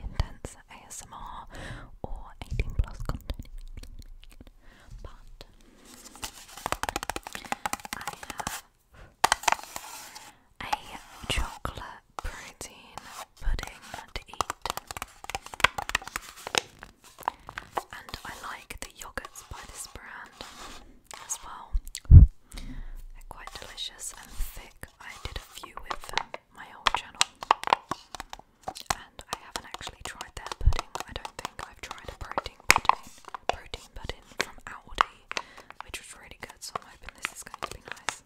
intense ASMR or 18 plus content. But I have a chocolate protein pudding to eat. And I like the yogurts by this brand as well. They're quite delicious and thick I did a few with my old channel, and I haven't actually tried their pudding. I don't think I've tried a protein pudding, protein pudding from Aldi, which was really good. So I'm hoping this is going to be nice.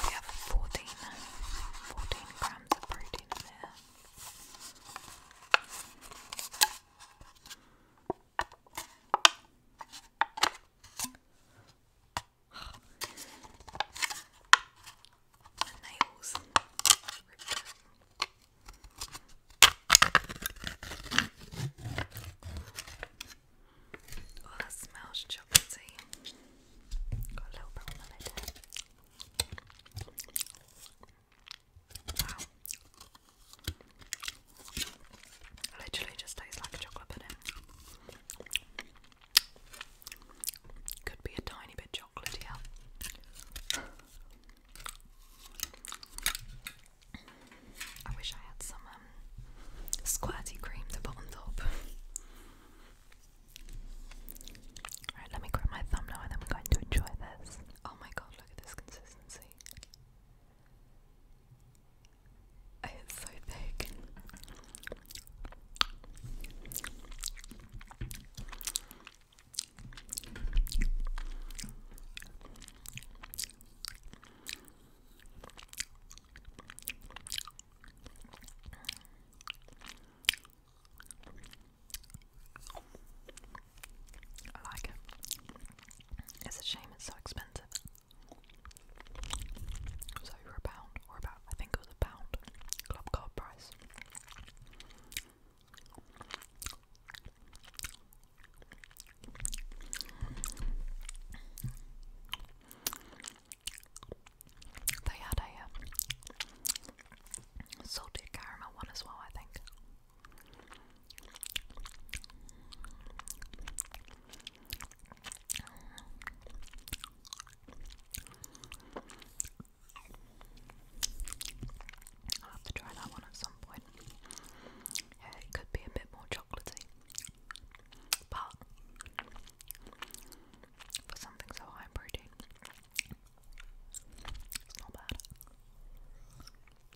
We have 14, 14 grams of protein in there. My nails Oh, that smells chocolatey. Got a little bit on the lid. Wow, Literally just tastes like chocolate pudding. Could be a tiny bit chocolatey I wish I had some um, squirty cream to put on top. Right, let me grab my thumb now and I'm going to enjoy this. Oh my god, look at this consistency. It's so thick. I like it. It's a shame it's so expensive. It was over a pound, or about, I think it was a pound, club card price. They had a um, salted caramel one as well, I think. I'll have to try that one at some point. it could be a bit more chocolatey, but for something so high protein, it's not bad.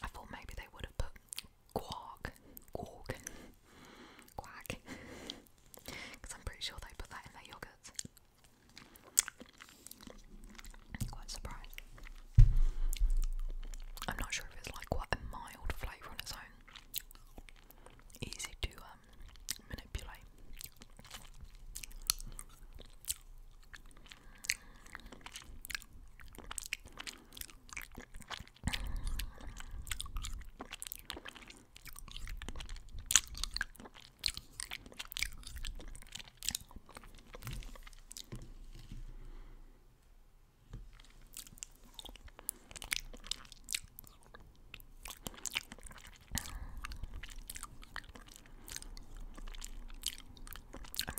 I thought maybe they would have put quark, quark, quack, because I'm pretty sure they put that in their yogurts. Quite surprised. I'm not sure if it's like quite a mild flavour on its own. Easy to um, manipulate. I'm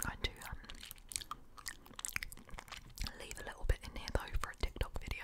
going to um, leave a little bit in here though for a TikTok video.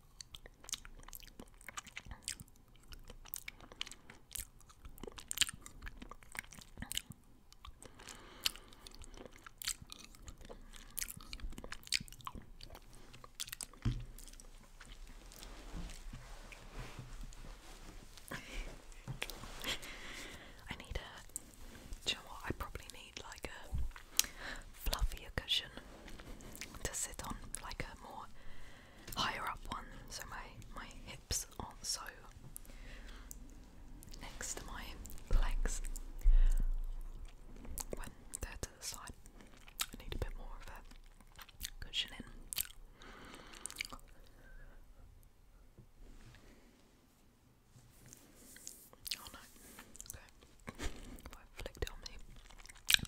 I need a. you know what? I probably need like a fluffier cushion to sit on, like a more higher up one, so my my hips aren't so next to my legs when they the side. I need a bit more of a cushion in. Oh no. Okay. I flicked it on me.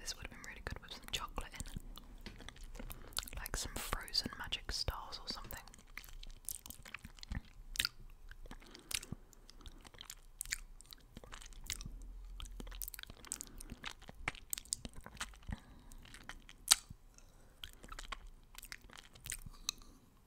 This would have been really good with some chocolate in Like some frozen magic stars or something.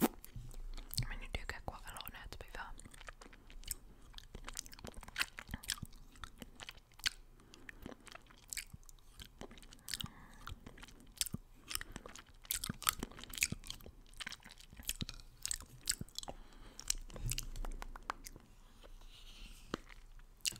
I mean, you do get quite a lot now, to be fair.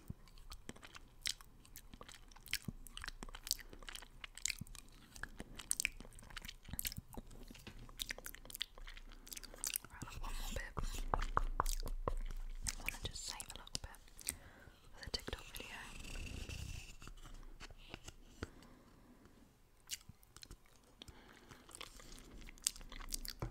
Right, I've one more bit. I want to just save a little bit for the TikTok video. Right,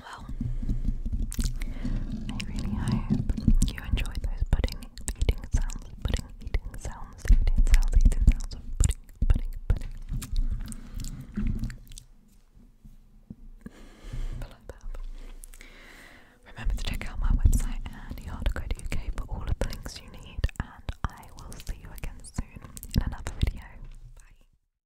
Well, I really hope you enjoy those pudding eating sounds, pudding eating sounds, eating sounds, eating sounds of pudding, pudding, pudding. Remember to check out my website and yardaco.uk for all of the links you need, and I will see you again soon in another video. Bye.